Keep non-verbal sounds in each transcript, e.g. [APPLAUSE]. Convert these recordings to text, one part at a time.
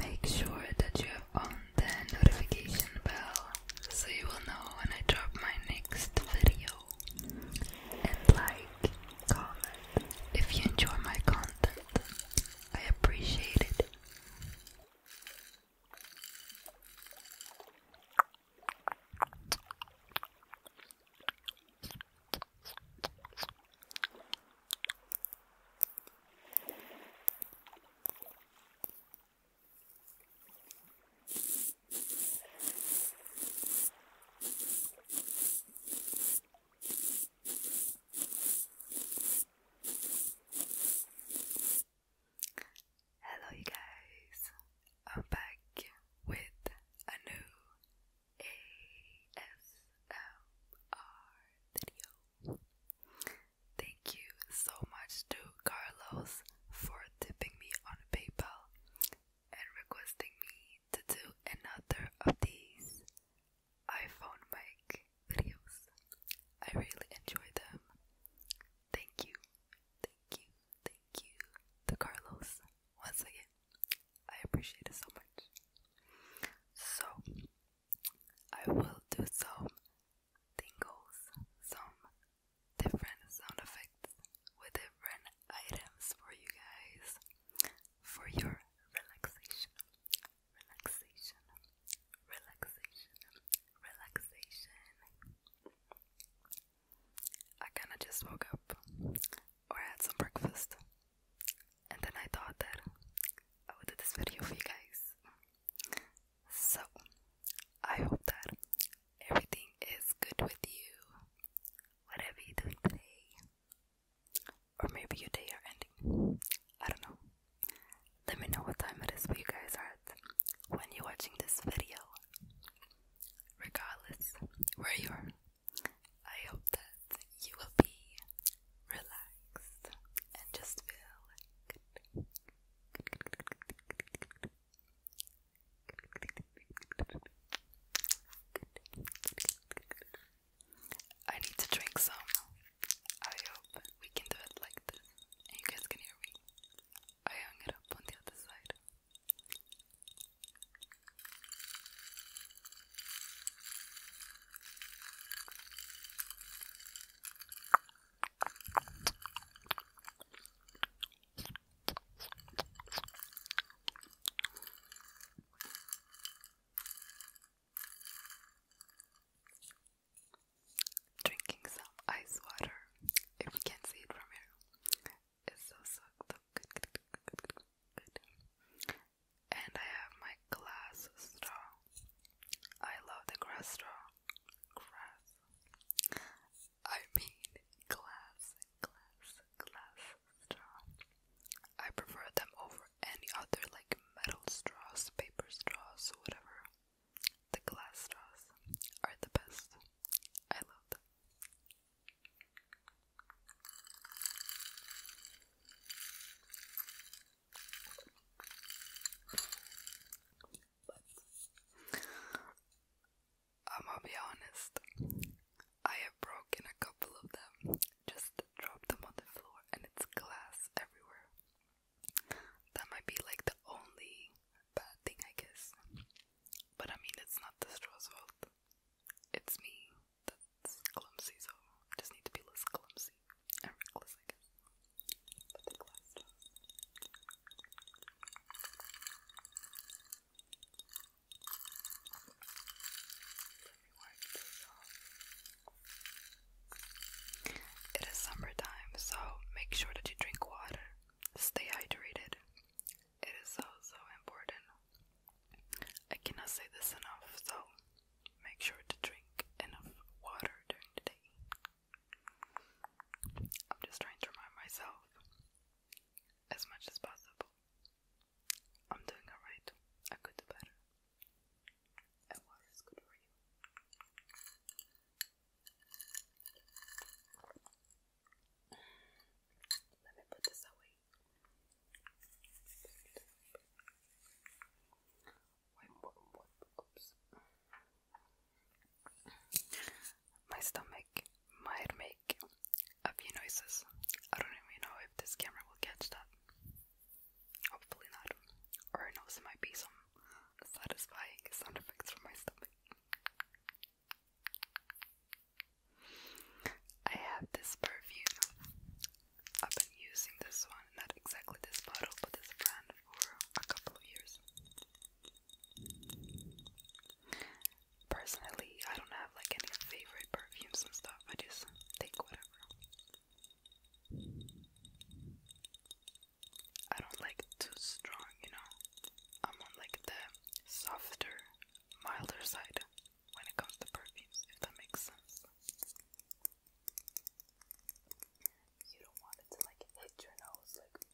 Make sure that you have on the notification bell so you will know when I drop my next video. And like, comment if you enjoy my content. I appreciate it. Hello, you guys. I'm back with a new ASMR video. Thank you so much to Carlos for tipping me on PayPal and requesting me to do another of these iPhone mic videos. I really enjoy them. Thank you, thank you, thank you to Carlos once again, I appreciate it so much. So, I will do some tingles, some different sound effects with different items for you guys for your relaxation, relaxation, relaxation, relaxation. I kinda just woke up or had some breakfast and then I thought that I would do this video for you guys. So, I hope that everything is good with you, whatever you're today, or maybe your day are ending. I don't know. Let me know what time it is where you guys are at when you're watching this video, regardless where you are. I hope that you will be relaxed and just feel I need to drink some. I hope we can do it like this you guys can hear me. I hung it up on the other side. Drinking some ice water, if you can see it from here, it's so so good, And I have my glass straw. I love the grass straw. Grass. I mean glass, glass, glass straw. I prefer them over any other like metal straws, paper straws, whatever. The glass straws are the best. I love them. I'm gonna be honest, I have broken a couple of them, just dropped them on the floor, and it's glass everywhere. That might be like the only bad thing, I guess. But I mean, it's not the straw's fault, it's me that's clumsy, so I just need to be less clumsy and reckless, I It is summertime, so make sure that you drink water, stay hydrated, it is also important. I cannot say this enough, so make sure to drink enough water during the day. I'm just trying to remind myself as much as possible. I'm doing alright. I could do better. And water is good for you. Let me put this away. My stomach might make a few noises. I don't even know if this camera will catch that. Hopefully not. Or it it might be some satisfying sound effects from my stomach. I have this perfume. I've been using this one, not exactly this bottle, but this brand for a couple of years. Personally, I don't have like any favorite perfumes and stuff. I just take whatever. I don't like too strong, you know. I'm on like the softer, milder side when it comes to perfumes, if that makes sense. You don't want it to like hit your nose, like. You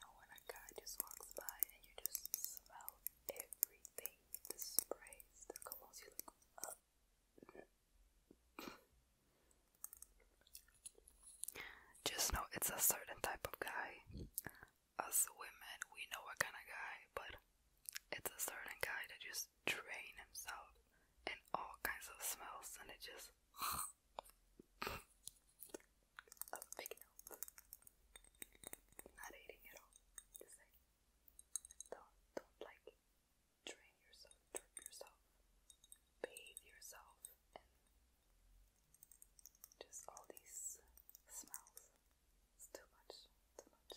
know when a guy just walks by and you just smell everything, the sprays, the colognes, you Like, just know it's a certain type of guy. Us women, we know what kind of guy, but it's a certain guy that just drain himself in all kinds of smells, and it just. [LAUGHS] Not eating at all. don't don't like train yourself, drip yourself, bathe yourself in just all these smells. It's too much, too much.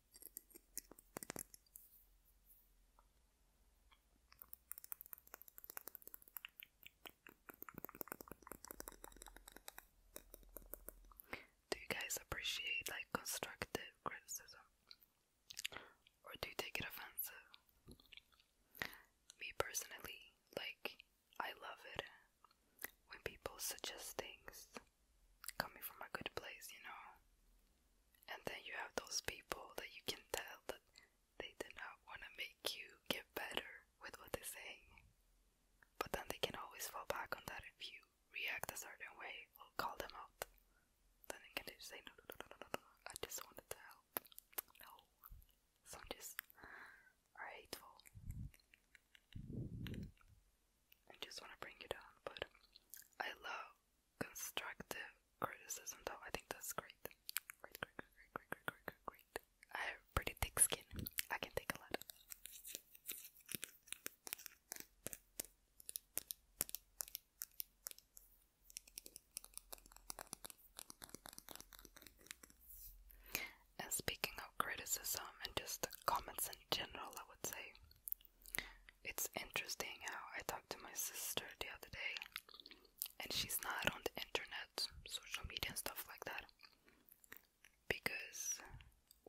Do you guys appreciate like constructive criticism? Or do you take it offensive? Me personally, like I love it when people suggest things coming from a good place, you know. And then you have those people that you can tell that they do not want to make you get better with what they're saying. But then they can always fall back on that if you react a certain way or call them out. Then they can just say, no, no, no, no, no, no, I just wanted to help. No. Some just are hateful. I just want to bring you down, but I love constructive criticism, though. I think that's great. Great, great, great, great, great, great, great, I have pretty thick skin. I can take a lot of And speaking of criticism and just the comments in general, I would say it's interesting how I talked to my sister the other day, and she's not on the internet, social media, and stuff like that. Because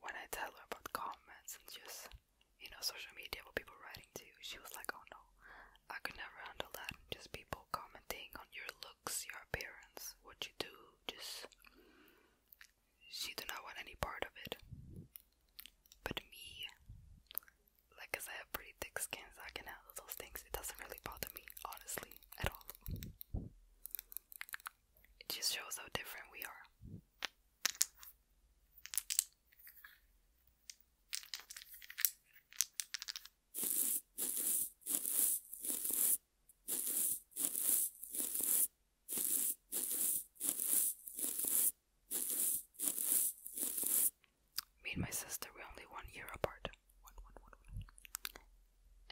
when I tell her about comments and just, you know, social media, what people writing to she was like, oh no, I can never handle that. Just people commenting on your looks, your appearance, what you do, just she did not want any part of it. But me, like, cause I have pretty thick skin, so I can handle those things. It doesn't really bother me, honestly, at all. It just shows how different we are. Me and my sister, were only one year apart.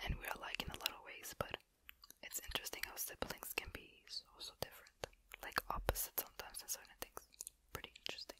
and we are like in a lot of ways, but it's interesting how siblings can be so, so different. Like opposite sometimes in certain things. Pretty interesting.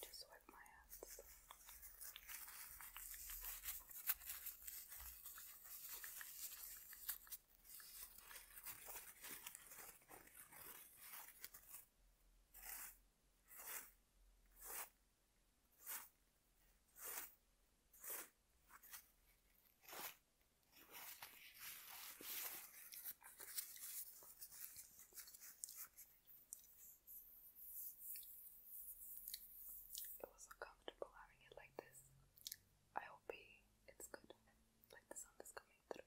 Just wipe my hands. It was so having it like this. I hope it's good. Like the sound is coming through.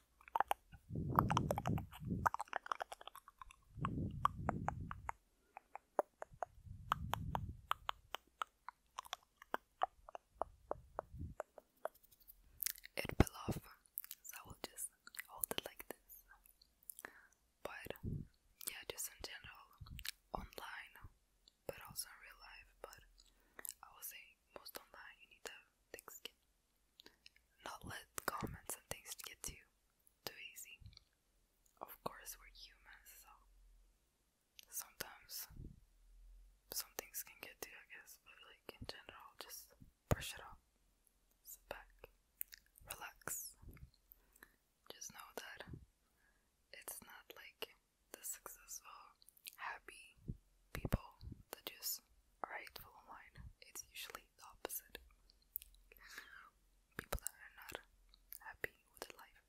It fell off, I will just hold it like this. But yeah, just in general, online, but also in real life. But I would say most online you need a thick skin. Not let comments and things get to you too easy. Of course, we're humans, so sometimes some things can get to you, I guess, but like in general, just brush it off, sit back, relax. Just know that it's not like the successful, happy people that is rightful mine. It's usually the opposite. People that are not happy with their life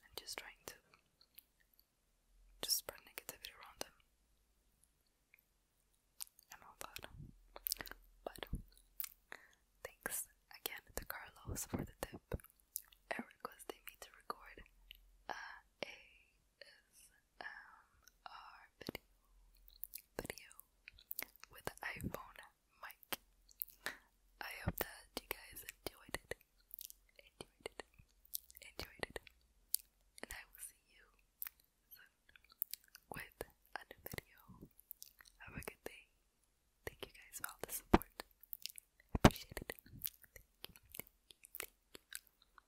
and just trying to just spread negativity around them and all that. But thanks again to Carlos for the tip. Eric requested me to record uh, um, our video, video with iPhone mic. I hope that you guys enjoyed it, enjoyed it, enjoyed it, and I will see you with a new video. Have a good day. Thank you guys for all the support. I thank you.